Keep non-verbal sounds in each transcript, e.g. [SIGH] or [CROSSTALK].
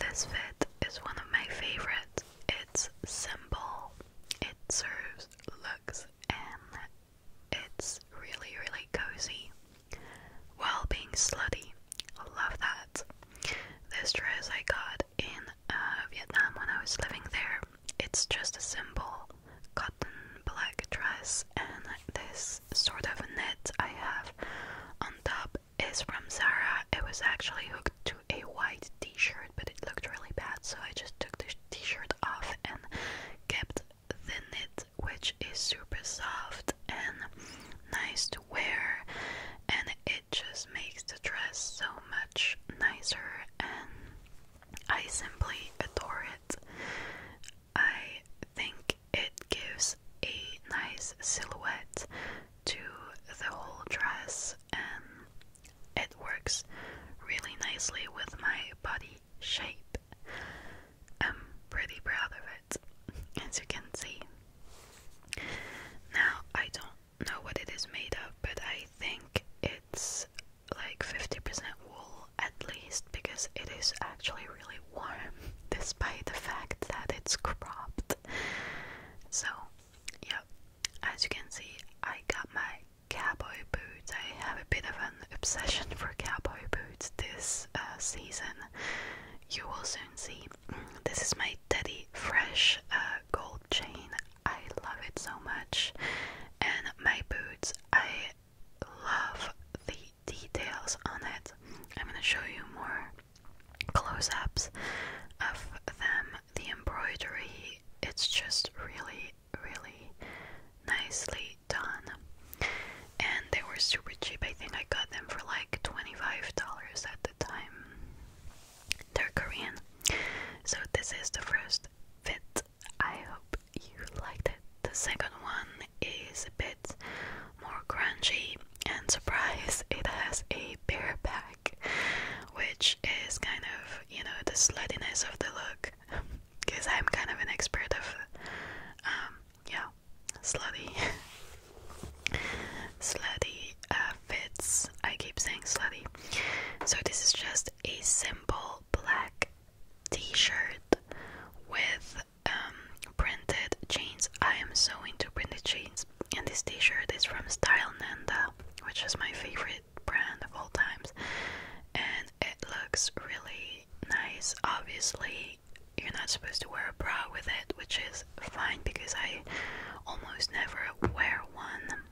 This fit is one of my favorites. It's simple, it serves looks, and it's really, really cozy while being slutty. Love that. This dress I got in uh, Vietnam when I was living there. It's just a simple cotton black dress, and this sort of knit I have on top top is from Zara. It was actually hooked to a white t-shirt, but it looked really bad, so I just took the t-shirt off and kept the knit, which is super soft and nice to wear, and it just makes the dress so much nicer, and I simply adore it. I think it gives a nice silhouette to the whole dress and it works really nicely with my body shape. I'm pretty proud of it, as you can see. Now, I don't know what it is made of, but I think it's like 50% wool at least because it is actually really warm despite the fact that it's cropped. So, yeah, as you can see, I got my cowboy boots. I have a bit of an obsession for cowboy boots this uh, season. You will soon see. This is my Teddy Fresh uh, gold chain. I love it so much. And my boots, I love the details on it. I'm going to show you more close ups of them. The embroidery, it's just really, really nicely done. And they were super cheap. I think I got them for like $25 at the time. They're Korean. So, this is the first fit. I hope you liked it. The second one is a bit more crunchy and surprise it has a bear pack which is kind of you know the sluttiness of the look because I'm kind of an expert of um yeah slutty [LAUGHS] slutty uh, fits I keep saying slutty so this is just a simple black t-shirt with um, printed jeans. I am so into printed jeans. And this t-shirt is from Style Nanda, which is my favorite brand of all times. And it looks really nice. Obviously, you're not supposed to wear a bra with it, which is fine because I almost never wear one.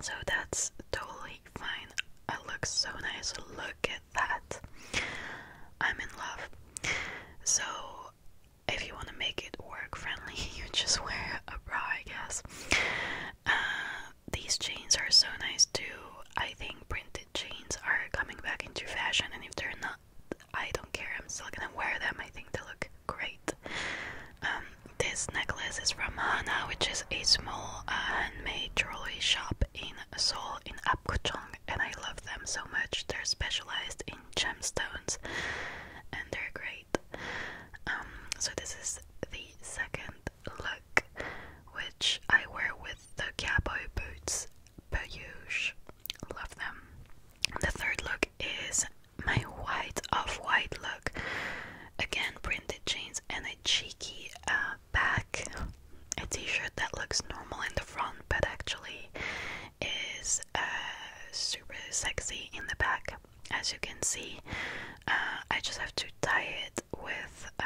So that's totally fine. It looks so nice. Look at that. I'm in love. So, if you want to make it work friendly, [LAUGHS] you just wear a bra, I guess. Uh, these jeans are so nice too. I think printed jeans are coming back into fashion, and if they're not, I don't care. I'm still gonna wear them. I think they look great. Um, this necklace is from Hana, which is a small uh, handmade jewelry shop in Soul in Apgujeong and I love them so much. They're specialized in gemstones and they're great. Um, so this is the second look which I wear with the cowboy boots per usual. Love them. The third look is my white off-white look. Again, printed jeans and a cheeky uh, back a t-shirt that looks normal in the front but actually is uh, super sexy in the back as you can see uh, I just have to tie it with uh,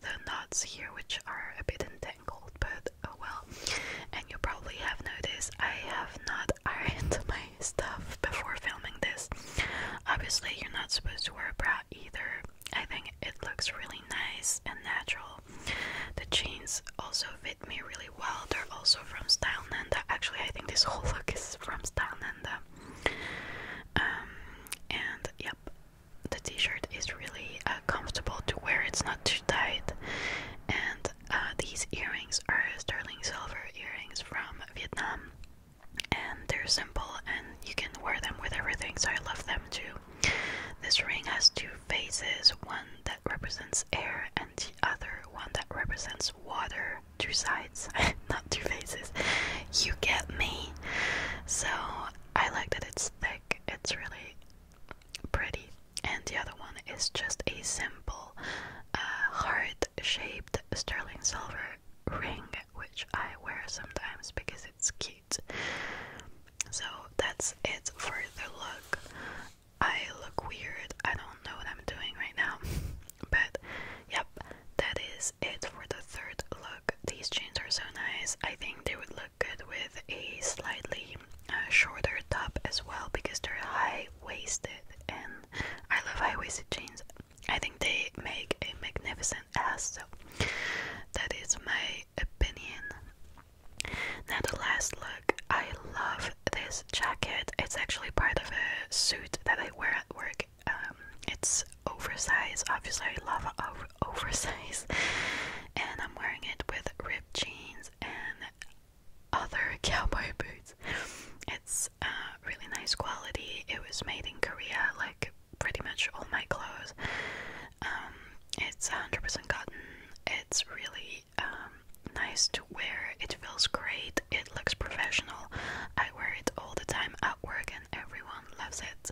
the knots here which are a bit entangled but oh well and you probably have noticed I have not [LAUGHS] ironed my stuff before filming this obviously you're not supposed to wear a bra either I think it looks really nice and natural. The jeans also fit me really well. They're also from Style Nanda. Actually, I think this [LAUGHS] whole look is from Style Nanda. Um, and yep, the t-shirt is really uh, comfortable to wear. It's not too tight. And uh, these earrings are sterling silver earrings from Vietnam and they're simple and you can wear them with everything so I love them too. This ring has two faces, one that represents air and the other one that represents water, two sides, [LAUGHS] not two faces. You get me. So I like that it's thick, it's really pretty. And the other one is just a simple uh, heart shaped sterling silver ring which I wear sometimes because it's cute. So that's it for the look. I look weird. I don't know what I'm doing right now. [LAUGHS] but yep, that is it for the third look. These jeans are so nice. I think they would look good with a slightly uh, shorter top as well because they're high waisted and I love high waisted jeans. I think they make a magnificent ass, so that is my opinion. Now, the last look, I love this jacket. It's actually part of a suit that I wear at work. Um, it's oversized, obviously, I love [LAUGHS] oversized, and I'm wearing it with ripped jeans and other [LAUGHS] cowboy boots. It's uh, really nice quality. It was made in Korea, like pretty much all my clothes. Um, it's 100% cotton. It's really um, nice to wear. It feels great. It looks professional. I wear it all the time at work, and everyone loves it.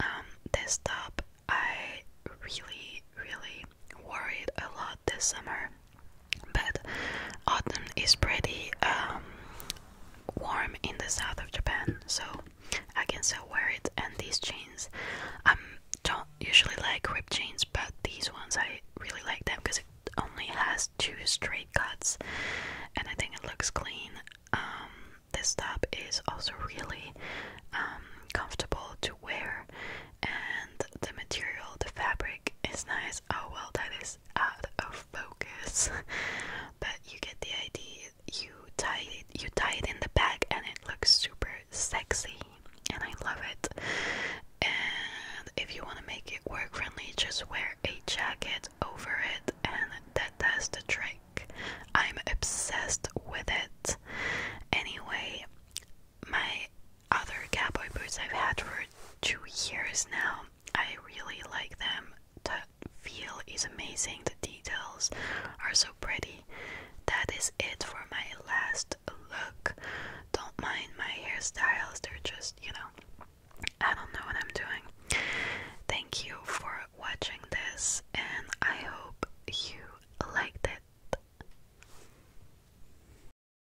Um, this top, I really, really wore it a lot this summer. But autumn is pretty um, warm in the south of Japan, so I can still wear it. And these jeans, I um, don't usually like ripped jeans, but these ones I really like them because it only has two straight cuts, and I think it looks clean. Um, this top is also really comfortable to wear, and the material, the fabric is nice. Oh well, that is out of focus, [LAUGHS] but you get the idea. You tie it, you tie it in the back, and it looks super sexy, and I love it. And if you want to make it work friendly, just wear a jacket over it, and that does the trick. I'm obsessed with it. Anyway, my other cowboy boots I've had for two years now. I really like them. The feel is amazing, the details are so pretty. That is it for my last look. Don't mind my hairstyles, they're just, you know, I don't know what I'm doing. Thank you for watching this, and I hope you liked it.